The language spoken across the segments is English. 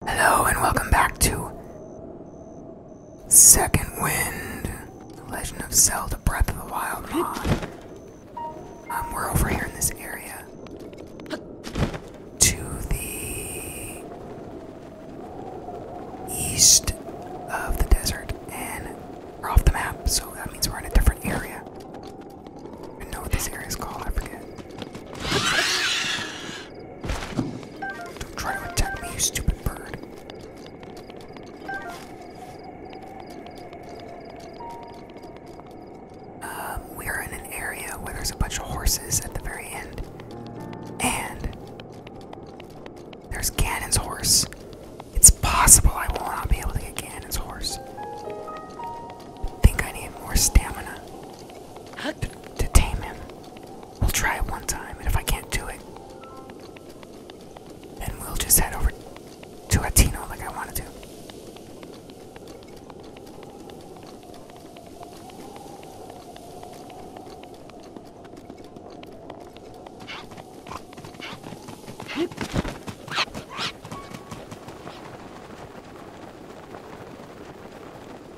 Hello and welcome back to Second Wind, The Legend of Zelda Breath of the Wild mod. Um, we're over here in this area to the east of the desert, and we're off the map, so that means we're in a different area. I know what this area is called, I forget. Don't Try to attack me, you stupid bird. Um, we are in an area where there's a bunch of horses at the very end. And there's Ganon's horse. It's possible I will not be able to get Ganon's horse. I think I need more stamina to, tame him. We'll try it one time, and if I can't do it, then we'll just head over to Atino like I wanted to.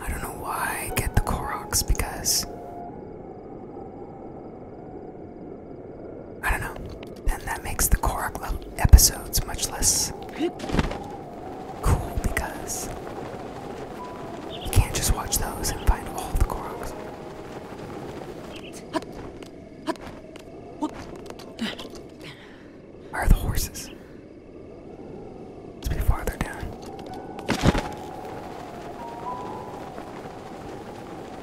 I don't know why I get the Koroks because I don't know. Then that makes the Korok episodes much less cool because you can't just watch those and find all the Koroks. Where are the horses? Let's be farther down.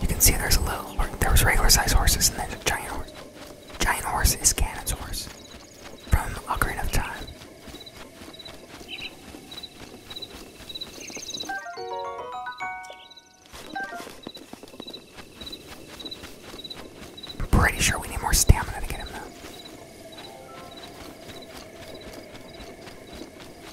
You can see there's a little, there was regular sized horses and then a giant horse. Giant horse is cannon's horse from a Ocarina of Time. I'm pretty sure we need more stamina to get him though.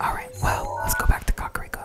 Alright, well, let's go back to Kakariko.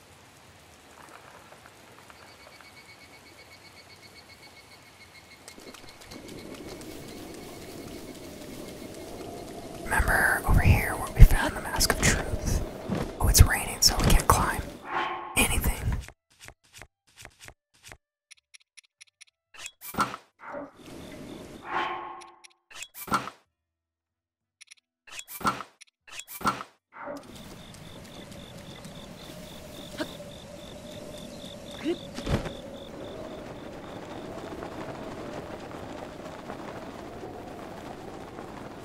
Remember over here where we found the Mask of Truth? Oh, it's raining, so we can't climb anything.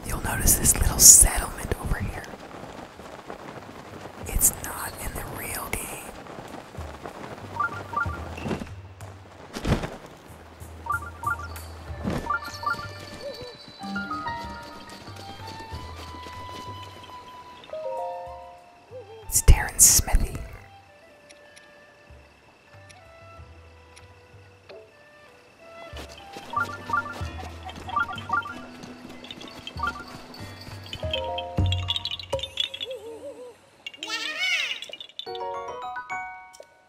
You'll notice this little settlement over here. It's not in the real game. It's Darren Smithy.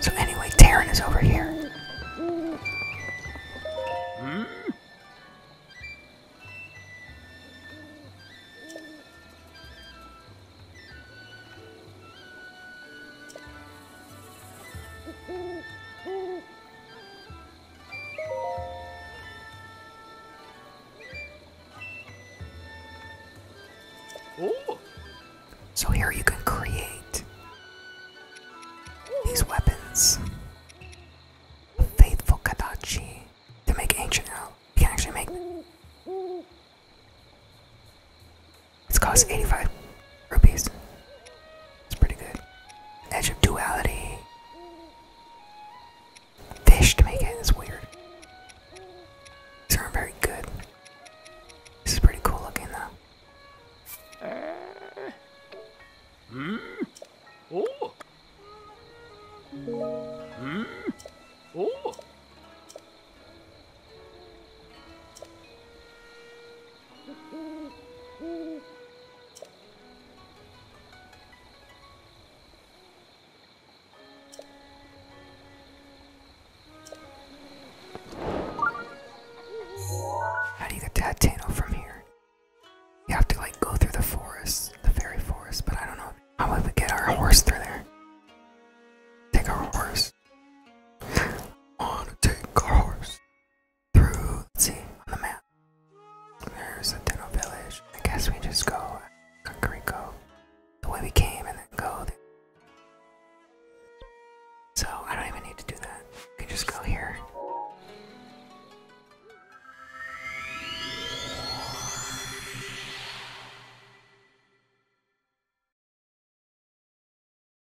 So anyway, Taryn is over here. Hmm? Ooh. So here you can create these weapons. Faithful Kadachi. To make ancient oh, You can actually make It's cost 85 rupees. It's pretty good. Edge of Duality. Fish to make it is weird. These aren't very good. This is pretty cool looking though. Hmm? Oh. Hmm? Oh. How do you get to Hatano from here? You have to like go through the forest, the fairy forest, but I don't know how we get our horse through there. Take our horse. Wanna take our horse through, let's see, on the map. There's a Dino village. I guess we just go go the way we came and then go there. So I don't even need to do that. We can just go here.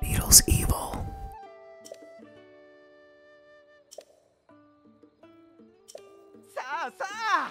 Beetle's evil. Sa, sa!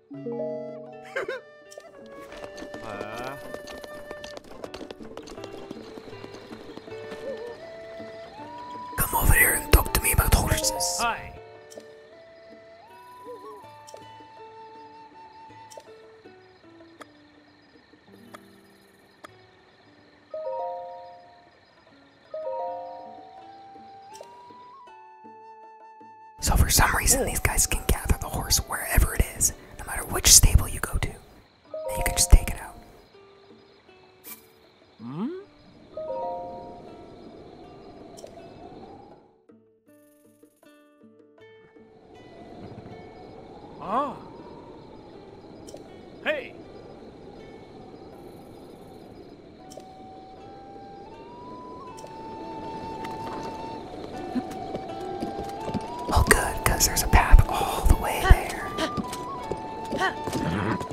Come over here and talk to me about horses. Hi. So for some reason, these guys can gather the horse wherever it is, no matter which stable you go to. you can just take it out. Hmm? Ah. Hey. Oh, good, because there's a path all the way there. Oh.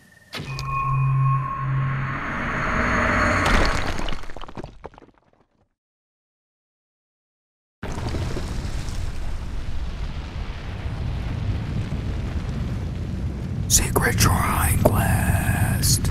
Secret Shrine Quest.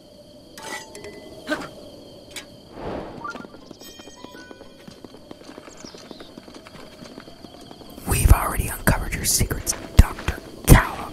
We've already uncovered your secrets, Dr. Callop.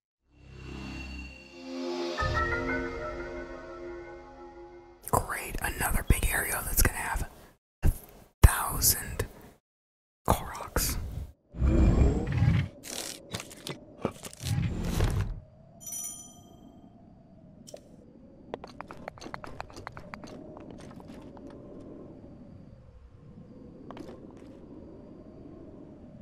Great, another big area that's gonna have a thousand Koroks.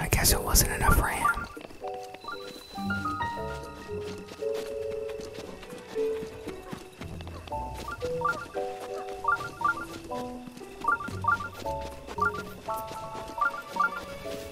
I guess it wasn't enough for him.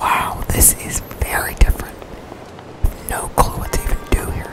Wow, this is very different. No clue what to even do here.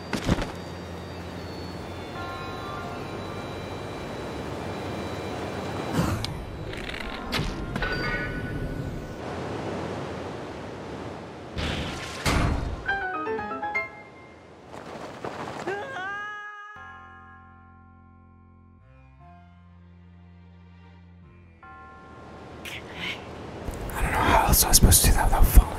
I don't know how else I was supposed to do that without falling.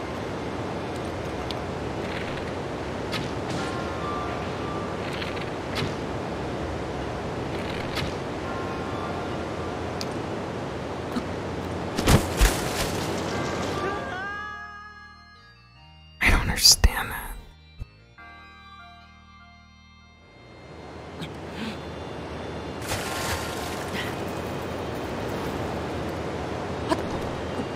I don't understand that.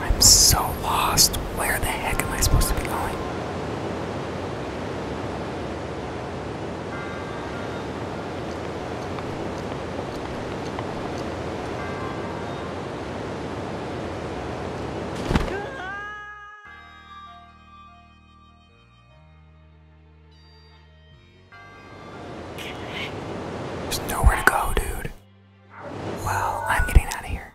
I'm so lost. Where the heck am I supposed to be going? There's nowhere to go, dude. Well, I'm getting out of here.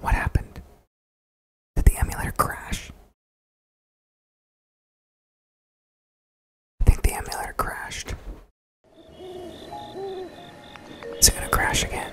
What happened? Did the emulator crash? I think the emulator crashed. Is it gonna crash again?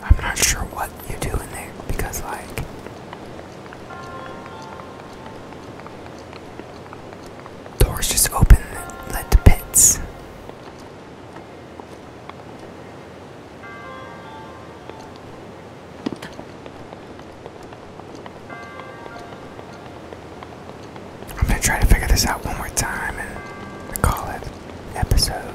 I'm not sure what you do in there because, like, doors just open that led to pits. I'm gonna try to figure this out one more time and call it episode.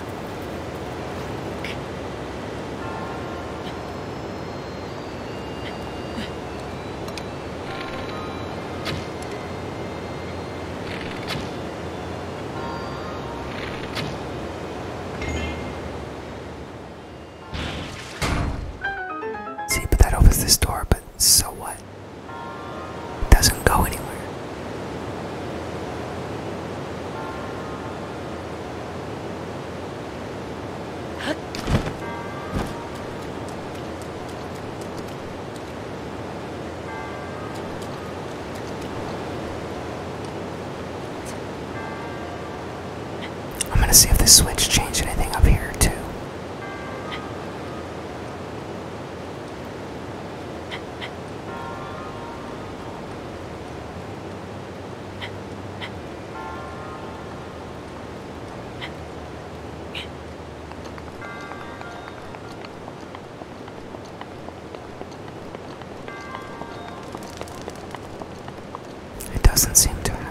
See, but that opens this door, but so what? It doesn't go anywhere. I'm gonna see if this switch changed anything up here too. It doesn't seem to have.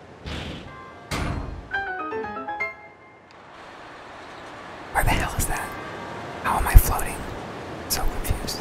Where the hell is that? How am I floating? So confused.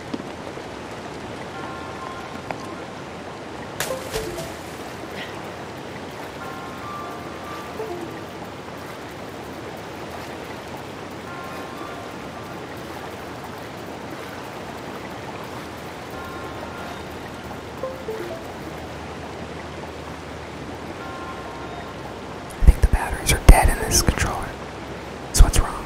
I think the batteries are dead in this controller. So what's wrong.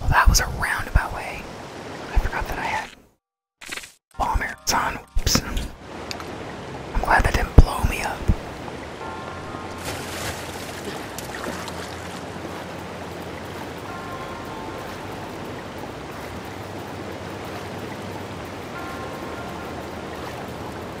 Well, that was a roundabout way. I forgot that I had bombers on. Whoops. I'm glad that didn't blow me up.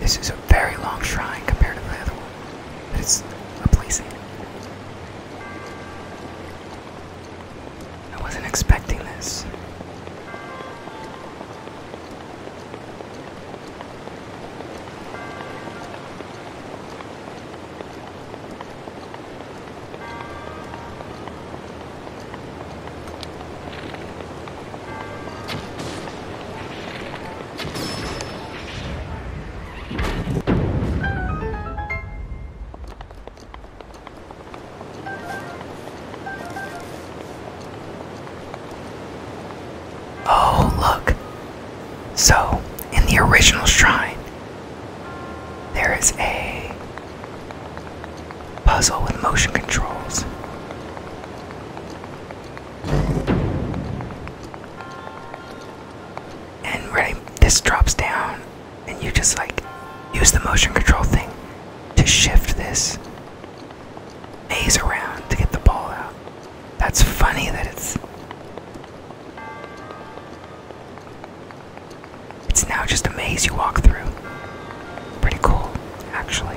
This is a very long shrine compared to the other one, but it's replacing. I wasn't expecting this. Oh, look. So, in the original shrine, there is a Puzzle with motion controls. And really, this drops down, and you just like use the motion control thing to shift this maze around to get the ball out. That's funny that it's it's now just a maze you walk through. Pretty cool, actually.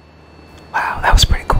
Wow, that was pretty cool.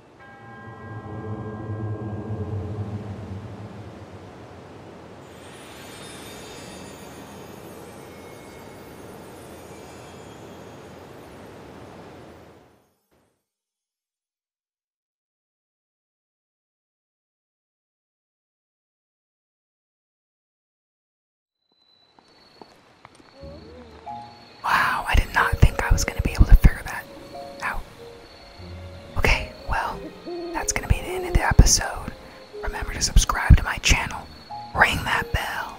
Wow, I did not think I was going to be able to figure that out. Okay, well, that's gonna be the end of the episode. Remember to subscribe to my channel, ring that bell,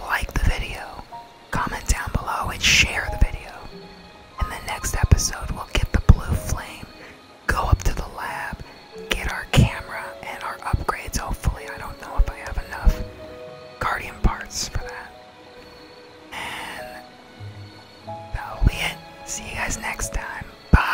like the video, comment down below, and share the video. In the next episode, we'll get the blue flame, go up to the lab, get our camera and our upgrades. Hopefully, I don't know if I have enough guardian parts for that that'll be it. See you guys next time. Bye.